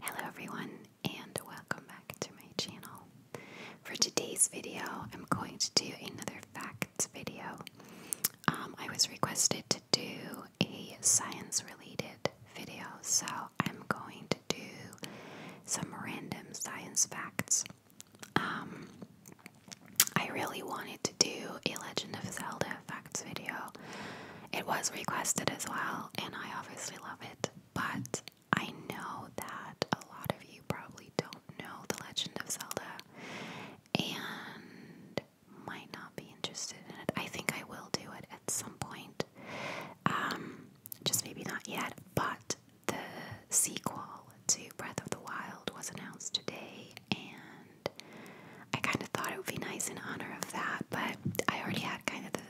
Hello everyone and welcome back to my channel. For today's video I'm going to do another facts video. Um, I was requested to do a science related video so I'm going to do some random science facts. Um, I really wanted to do a Legend of Zelda video. It was requested as well, and I obviously love it. But I know that a lot of you probably don't know The Legend of Zelda and might not be interested in it. I think I will do it at some point. Um, just maybe not yet, but the sequel to Breath of the Wild was announced today, and I kind of thought it would be nice in honor of that, but I already had kind of the,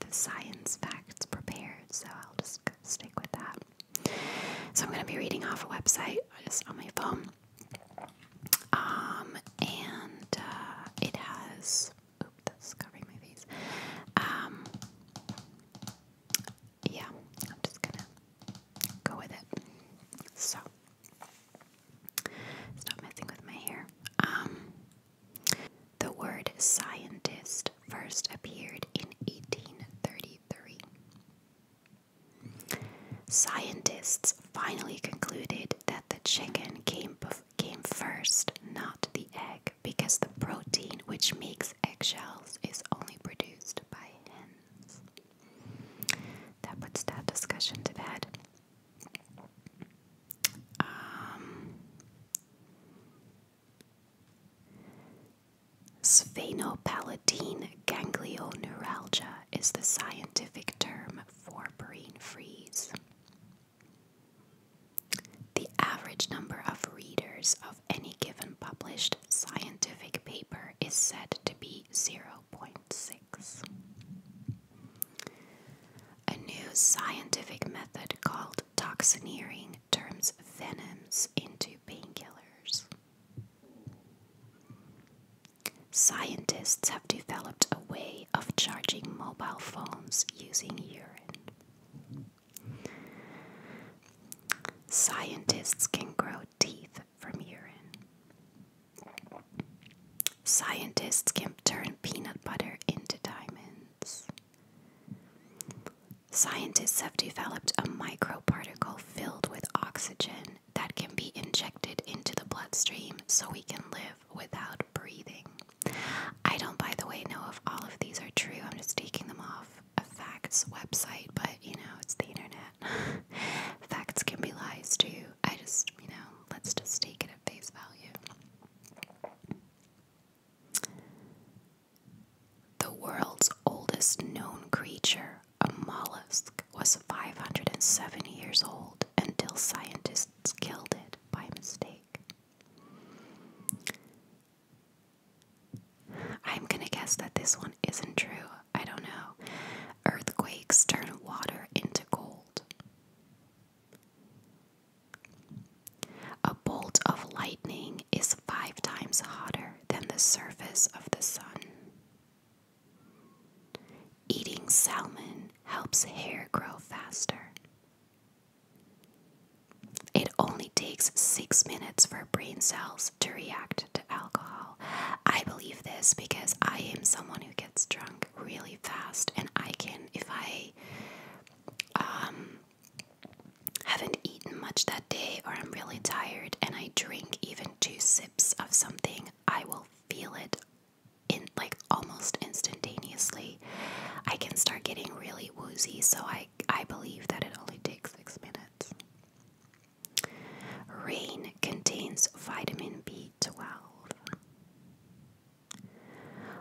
the, science facts prepared, so I'll just stick with that. So I'm going to be reading off a website just on my phone. Um, and uh, it has. Oops, that's covering my face. Um, yeah, I'm just going to go with it. So Stop messing with my hair. Um, the word scientist first appeared in 1833. Scientists finally concluded that the chicken came, came first, not the egg, because the protein which makes eggshells is only produced by hens. That puts that discussion to bed um, sphenopalatine ganglioneuralgia is the scientific term for brain freeze. The average number of readers of any given published scientific paper is said to be 0.6. A new scientific method called toxineering turns venoms into painkillers. Scientists have developed a way of charging mobile phones using urine. Scientists can grow teeth from urine. Scientists can turn peanut butter into diamonds. Scientists have developed a microparticle filled with oxygen that can be injected into the bloodstream so we can live without breathing. I don't, by the way, know if all of these are true. I'm just taking them off a facts website, but you know, it's the internet. facts can be lies too. I just, you know, let's just take it at face value. The world's oldest known creature, a mollusk, was 507 years old until scientists killed it by mistake. I'm gonna guess that this one isn't true. I don't know. Earthquakes turn water into gold. A bolt of lightning is five times hotter than the surface of the sun. Eating salmon helps hair grow faster. It only takes six minutes for brain cells to react to alcohol. I believe this because I am someone who gets drunk really fast, and I can if I um, haven't eaten much that day or I'm really tired, and I drink even two sips of something, I will feel it in like almost instantaneously. I can start getting really woozy, so I I believe that it only takes six minutes. Rain contains vitamin B12.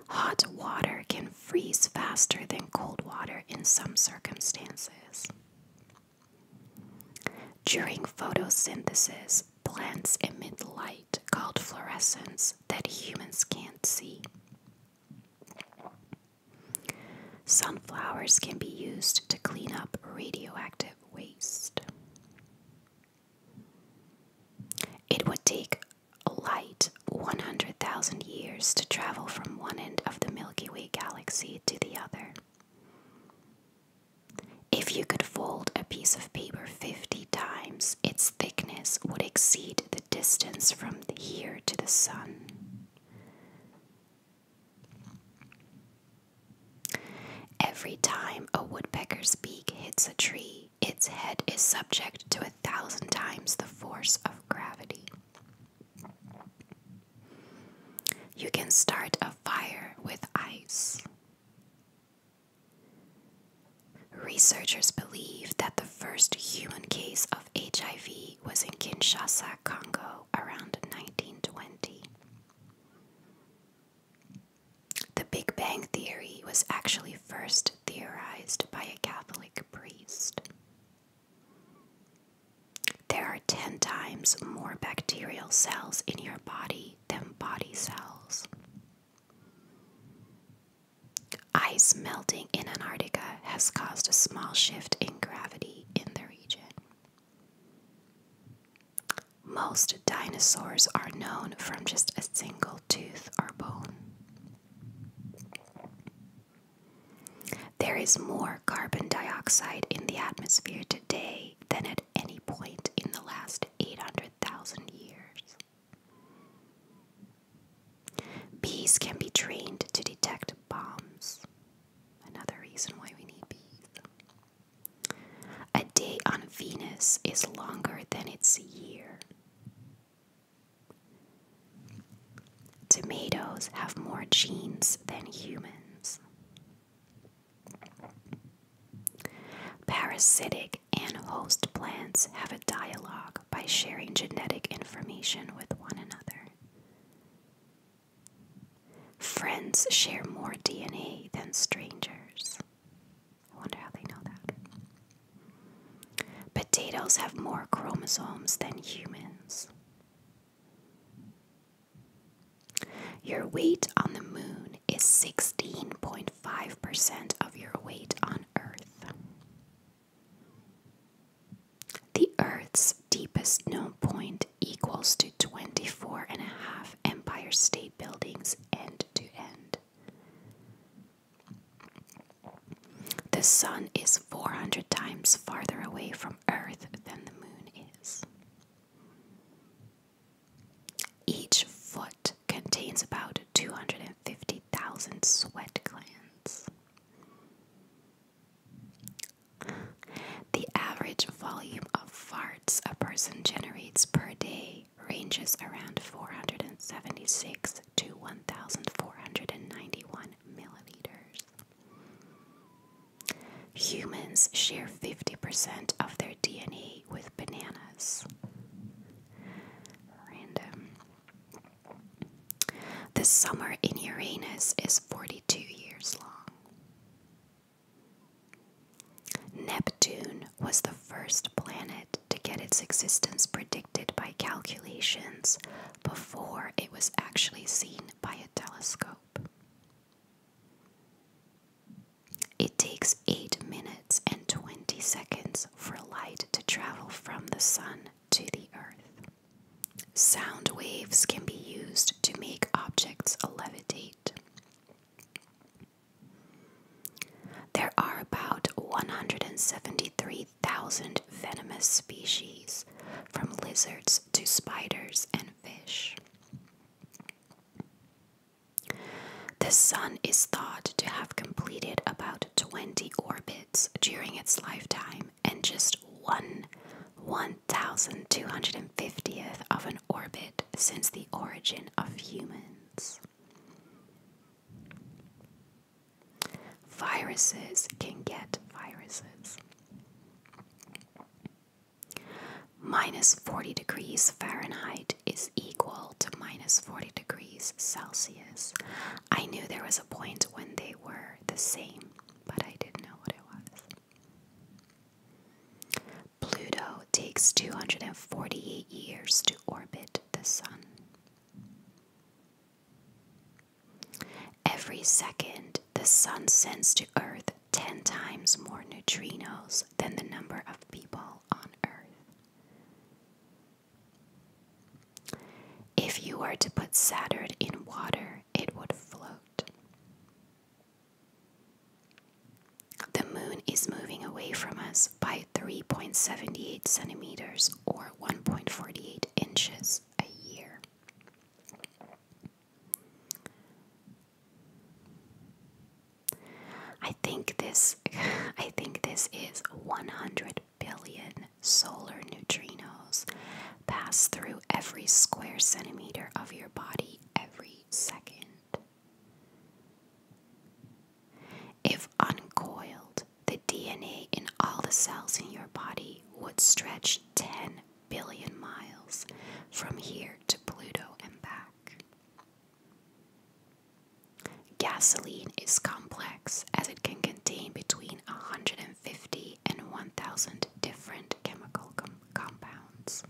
Hot water can freeze faster than cold water in some circumstances. During photosynthesis, plants emit light called fluorescence that humans can't see. Sunflowers can be used to clean up radioactive waste. It would take a light 100,000 years to travel from one end of the Milky Way galaxy to the other. If you could fold a piece of paper 50 times, its thickness would exceed the distance from here to the sun. Every time a woodpecker's beak hits a tree, its head is subject to a thousand times the force of gravity. You can start a fire with ice. Researchers believe that the first human case of HIV was in Kinshasa, Congo around 1920. The Big Bang Theory was actually first theorized by a Catholic priest. There are 10 times more bacterial cells in your body than body cells. Ice melting in Antarctica has caused a small shift in gravity in the region. Most dinosaurs are known from just a single tooth or bone. There is more carbon dioxide in the atmosphere today than at any point in the last 800,000 years. Bees can be trained to detect bombs, another reason why we need bees. A day on Venus is longer than its year. Tomatoes have more genes than humans. Parasitic and host plants have a dialogue by sharing genetic information with one another. Friends share more DNA than strangers. I wonder how they know that. Potatoes have more chromosomes than humans. Your weight on the moon is 16.5% of your weight on Earth. The Earth's deepest known point equals to 24 and a half Empire State Buildings end to end. The sun is 400 times farther away from Earth than the moon is. Each foot contains about 250,000 sweat glands. The average volume of farts a person generates per day ranges around 476 to 1,491 milliliters. Humans share 50% of their DNA with bananas. Random. The summer in Uranus is 42 years long. Neptune was the first planet to get its existence predicted by calculations before it was actually seen by a telescope. It takes 8 minutes and 20 seconds for light to travel from the Sun to the Earth. Sound waves can be used to make objects levitate. There are about 173,000 venomous species, from lizards to spiders and fish. The Sun is thought to have completed about 20 orbits during its lifetime, and just one, one 1250th of an orbit since the origin of humans. Viruses can get viruses. Minus 40 degrees Fahrenheit is equal to minus 40 degrees Celsius. I knew there was a point when they were the same, but I didn't know what it was. Pluto takes 248 years to orbit the Sun. Every second, the Sun sends to Earth 10 times more neutrinos than the number of people on Earth. If you were to put Saturn in water, it would float. The moon is moving away from us by 3.78 centimeters or 1.48 inches a year. I think this I think this is 100 billion solar neutrinos pass through every square centimeter of your body every second. If uncoiled, the DNA in all the cells in your body would stretch 10 billion miles from here to Pluto and back. Gasoline is complex as it can contain between hundred 150 Fifty and 1000 different chemical compounds.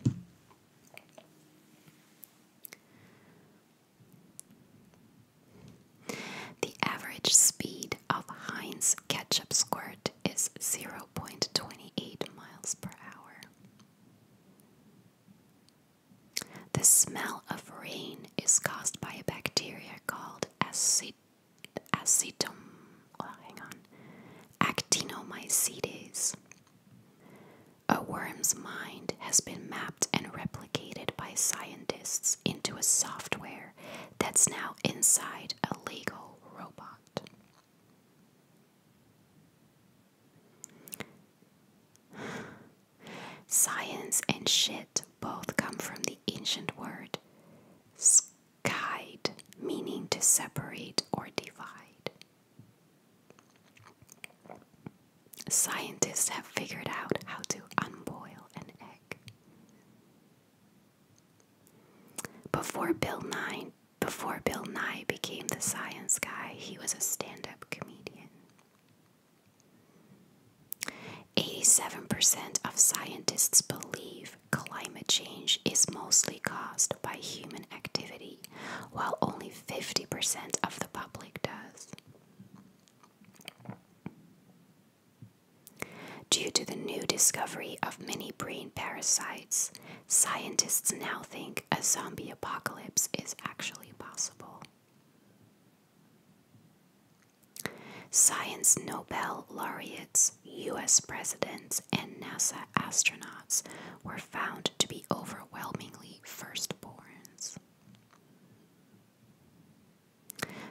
The average speed of Heinz ketchup squirt is 0.28 miles per hour. The smell of rain is caused by a bacteria called acid acetum, oh, hang on, actinomycetes. A worm's mind has been mapped and replicated by scientists into a software that's now inside a Lego robot. Science and shit both come from the ancient word Guide, meaning to separate or divide. Scientists have figured out how to unboil an egg. Before Bill Nye, before Bill Nye became the science guy, he was a stand-up comedian. 87% of scientists believe climate change is mostly caused by human activity, while only 50% of the public does. Due to the new discovery of many brain parasites, scientists now think a zombie apocalypse is actually possible. Science Nobel laureates, US presidents, and NASA astronauts were found to be overwhelmingly firstborns.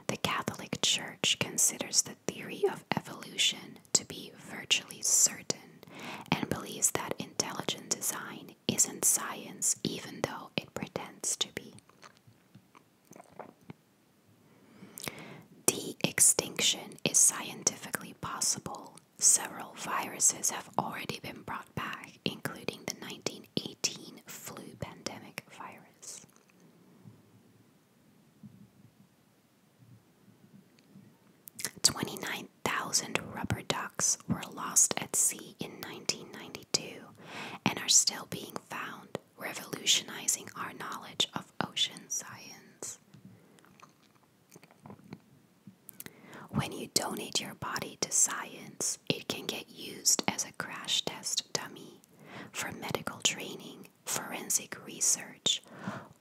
The Catholic Church considers the theory of evolution to be virtually certain and believes that intelligent design isn't science, even though it pretends to be. De extinction is scientifically possible. Several viruses have already been brought back, including the 1918 flu pandemic virus. Twenty-nine thousand rubber ducks were lost at sea in 1992 and are still being found revolutionizing our knowledge of ocean science. When you donate your body to science, it can get used as a crash test dummy for medical training, forensic research,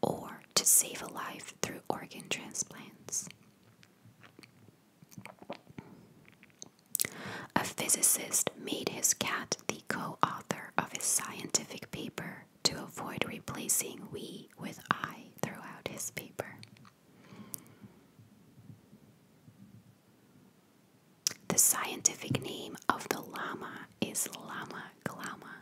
or to save a life through organ transplants. A physicist made his cat the co author of his scientific paper to avoid replacing we with I throughout his paper. The scientific name of the llama is Llama glama.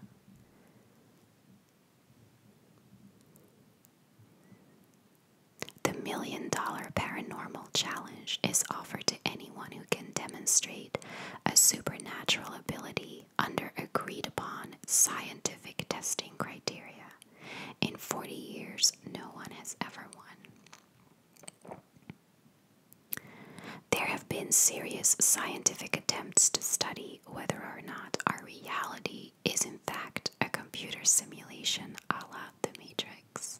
The million dollar paranormal challenge is offered to anyone who can demonstrate a supernatural ability under agreed upon scientific testing criteria. In 40 years, no one has ever won. There have been serious scientific attempts to study whether or not our reality is, in fact, a computer simulation a la The Matrix.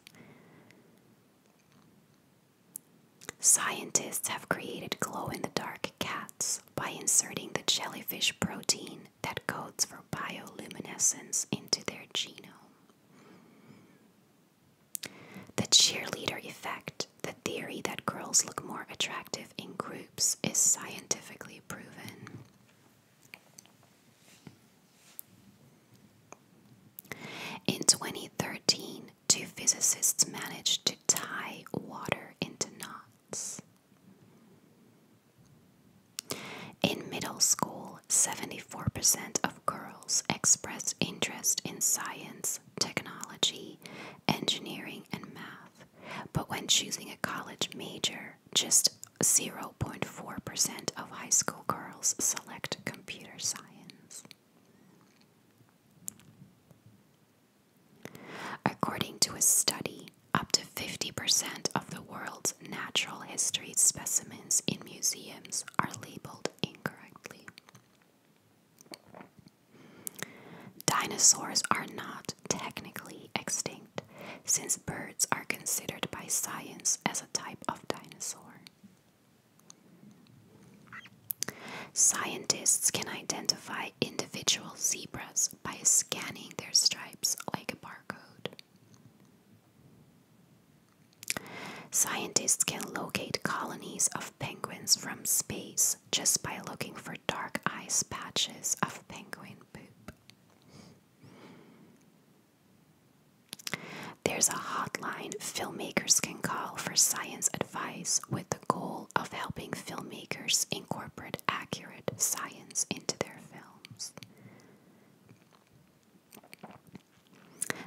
Scientists have created glow in the dark cats by inserting the jellyfish protein that codes for bioluminescence into their genome. The cheerleader effect, the theory that girls look more attractive in groups, is scientifically proven. In 2013, two physicists managed to tie water into knots. In middle school, 74% of girls expressed interest in science, technology, engineering, and math. But when choosing a college major, just zero. percent 0.4% of high school girls select computer science. According to a study, up to 50% of the world's natural history specimens in museums are labeled incorrectly. Dinosaurs are not technically extinct, since birds are considered by science as a type of dinosaur. Scientists can identify individual zebras by scanning their stripes like a barcode. Scientists can locate colonies of penguins from space just by looking for dark ice patches of penguin poop. There's a hotline filmmakers can call for science advice with the goal of helping filmmakers incorporate accurate science into their films.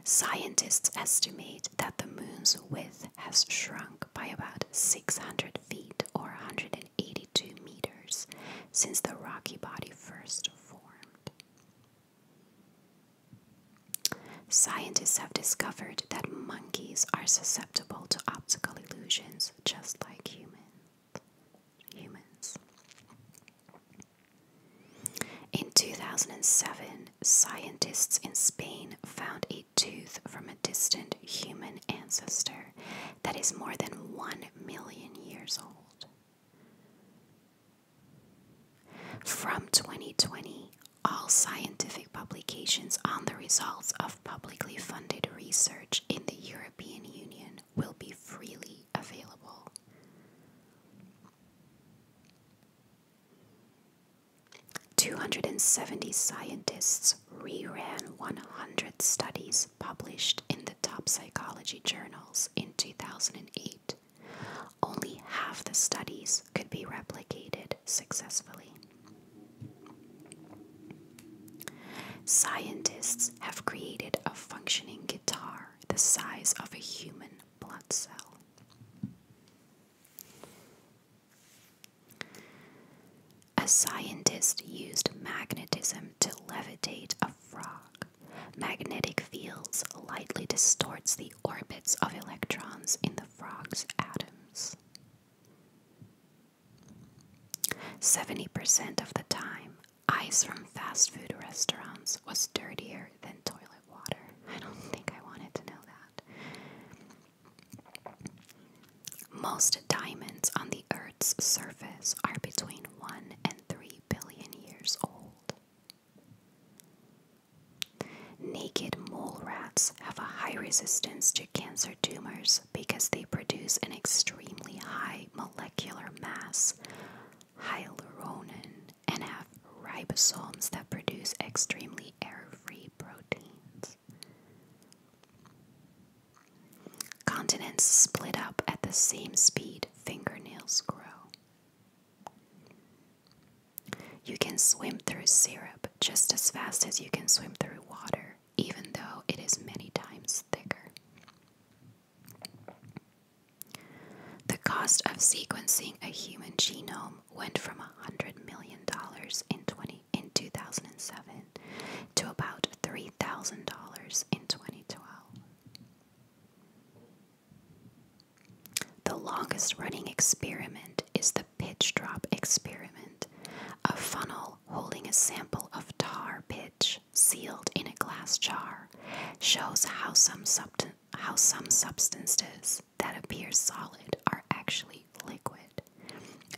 Scientists estimate that the moon's width has shrunk by about 600 feet or 182 meters since the rocky body first formed. Scientists have discovered that monkeys are susceptible to optical illusions just like humans. In 2007, scientists in Spain found a tooth from a distant human ancestor that is more than 1 million years old. From 2020, all scientific publications on the results of publicly funded research in the European Union will be freely available. Two hundred and seventy scientists reran one hundred studies published in the top psychology journals in 2008, only half the studies could be replicated successfully. Scientists have created a functioning guitar the size of a human blood cell. A scientist used magnetism to levitate a frog. Magnetic fields lightly distorts the orbits of electrons in the frog's atoms. 70% of the time, ice from fast food restaurants was dirtier than toilet water. I don't think I wanted to know that. Most diamonds on the Earth's surface are between 1 and 3 3 billion years old. Naked mole rats have a high resistance to cancer tumors because they produce an extremely high molecular mass, hyaluronan, and have ribosomes that produce extremely air free proteins. Continents split up at the same speed fingernails grow. You can swim through syrup just as fast as you can swim through water, even though it is many times thicker. The cost of sequencing a human genome went from $100 million in, 20, in 2007 to about $3,000 in 2012. The longest running experiment is the pitch drop experiment, a funnel holding a sample of tar pitch sealed in a glass jar shows how some substances that appear solid are actually liquid.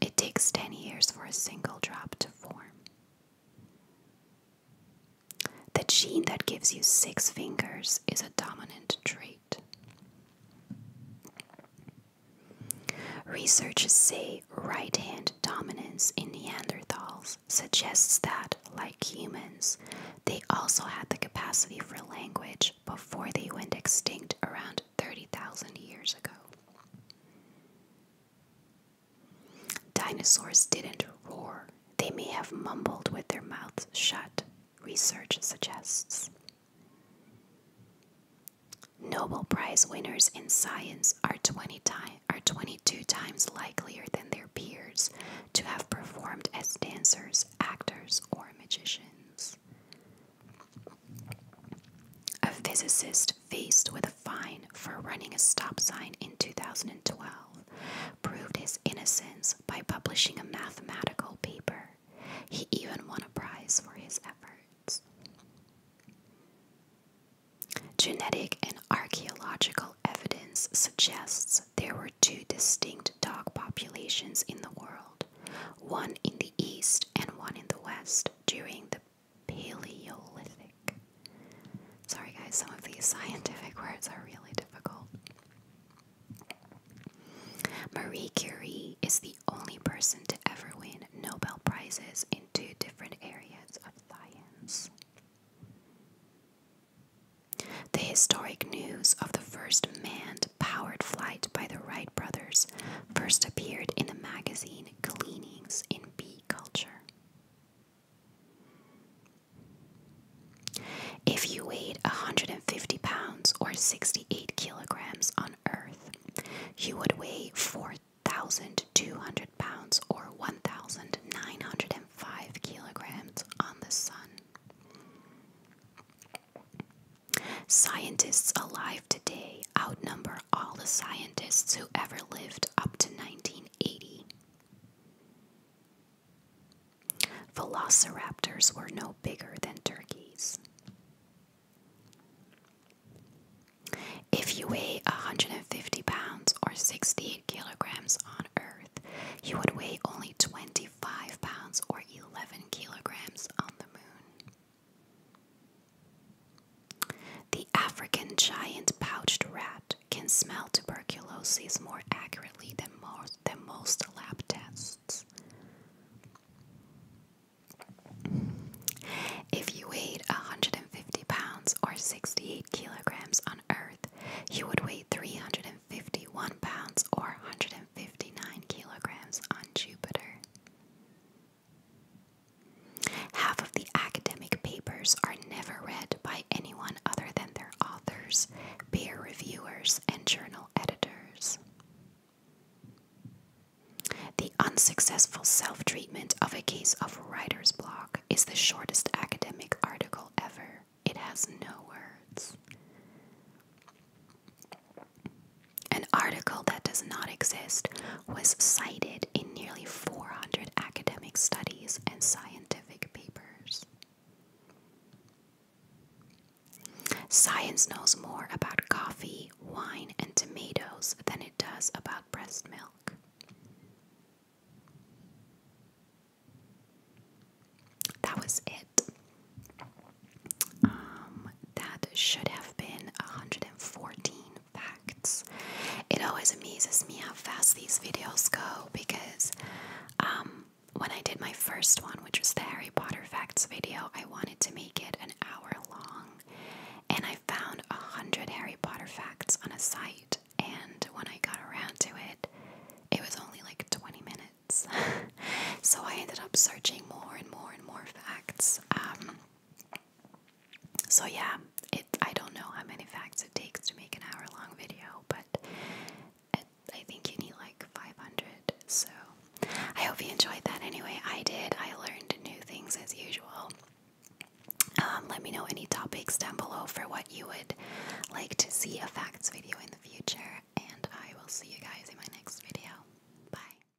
It takes 10 years for a single drop to form. The gene that gives you six fingers is a dominant trait. Researchers say right hand dominance in Neanderthals suggests that, like humans, they also had the capacity for language before they went extinct around 30,000 years ago. Dinosaurs didn't roar, they may have mumbled with their mouths shut, research suggests. Nobel Prize winners in science are, 20 are 22 times likelier than their peers to have performed as dancers, actors, or magicians. A physicist faced with a fine for running a stop sign in 2012, proved his innocence by publishing a mathematical paper. He even won a prize for his efforts. Genetic and archaeological evidence suggests there were two distinct dog populations in the world, one in the east and one in the west during the Paleolithic. Sorry, guys, some of these scientific words are really difficult. Marie Curie is the only person to ever win Nobel Prizes in two different areas of science. The historic news of the first manned powered flight by the Wright brothers first appeared in the magazine Cleanings in bee culture. If you weighed 150 pounds or 68 kilograms on Earth, you would weigh 4,200 pounds or 1,905 kilograms on the Sun. Scientists alive today outnumber all the scientists who ever lived up to 1980. Velociraptors were no bigger than turkeys. If you weigh 150 pounds or 68 kilograms on Earth, you would weigh only 25 pounds or 11 kilograms on the moon. The African giant pouched rat can smell tuberculosis more accurately than most, lab tests. If you weighed 150 pounds or 68 kilograms on Earth, you would weigh 351 pounds or 159 kilograms on Jupiter. Half of the academic papers are never read by anyone other than their authors, peer reviewers, and journal editors. The unsuccessful self treatment of a case of writer's block is the shortest academic article ever. It has no words. An article that does not exist was cited in nearly 400 academic studies and scientific papers. Science knows more about coffee, wine, and tomatoes than it does about breast milk. That was it. Um, that should have been 114 facts. It always amazes me how fast these videos go because um, when I did my first one, which was the Harry Potter facts video, I wanted to make it an hour long. And I found 100 Harry Potter facts on a site, and when I got around to it, it was only like 20 minutes. so I ended up searching more and more and more facts. Um, so yeah, it I don't know how many facts it takes to make an hour long video, but I think you need like 500. So I hope you enjoyed that anyway. I did. I learned new things as usual. Um, let me know any topics down below for what you would like to see a facts video in the future, and I will see you guys in my next video. Bye.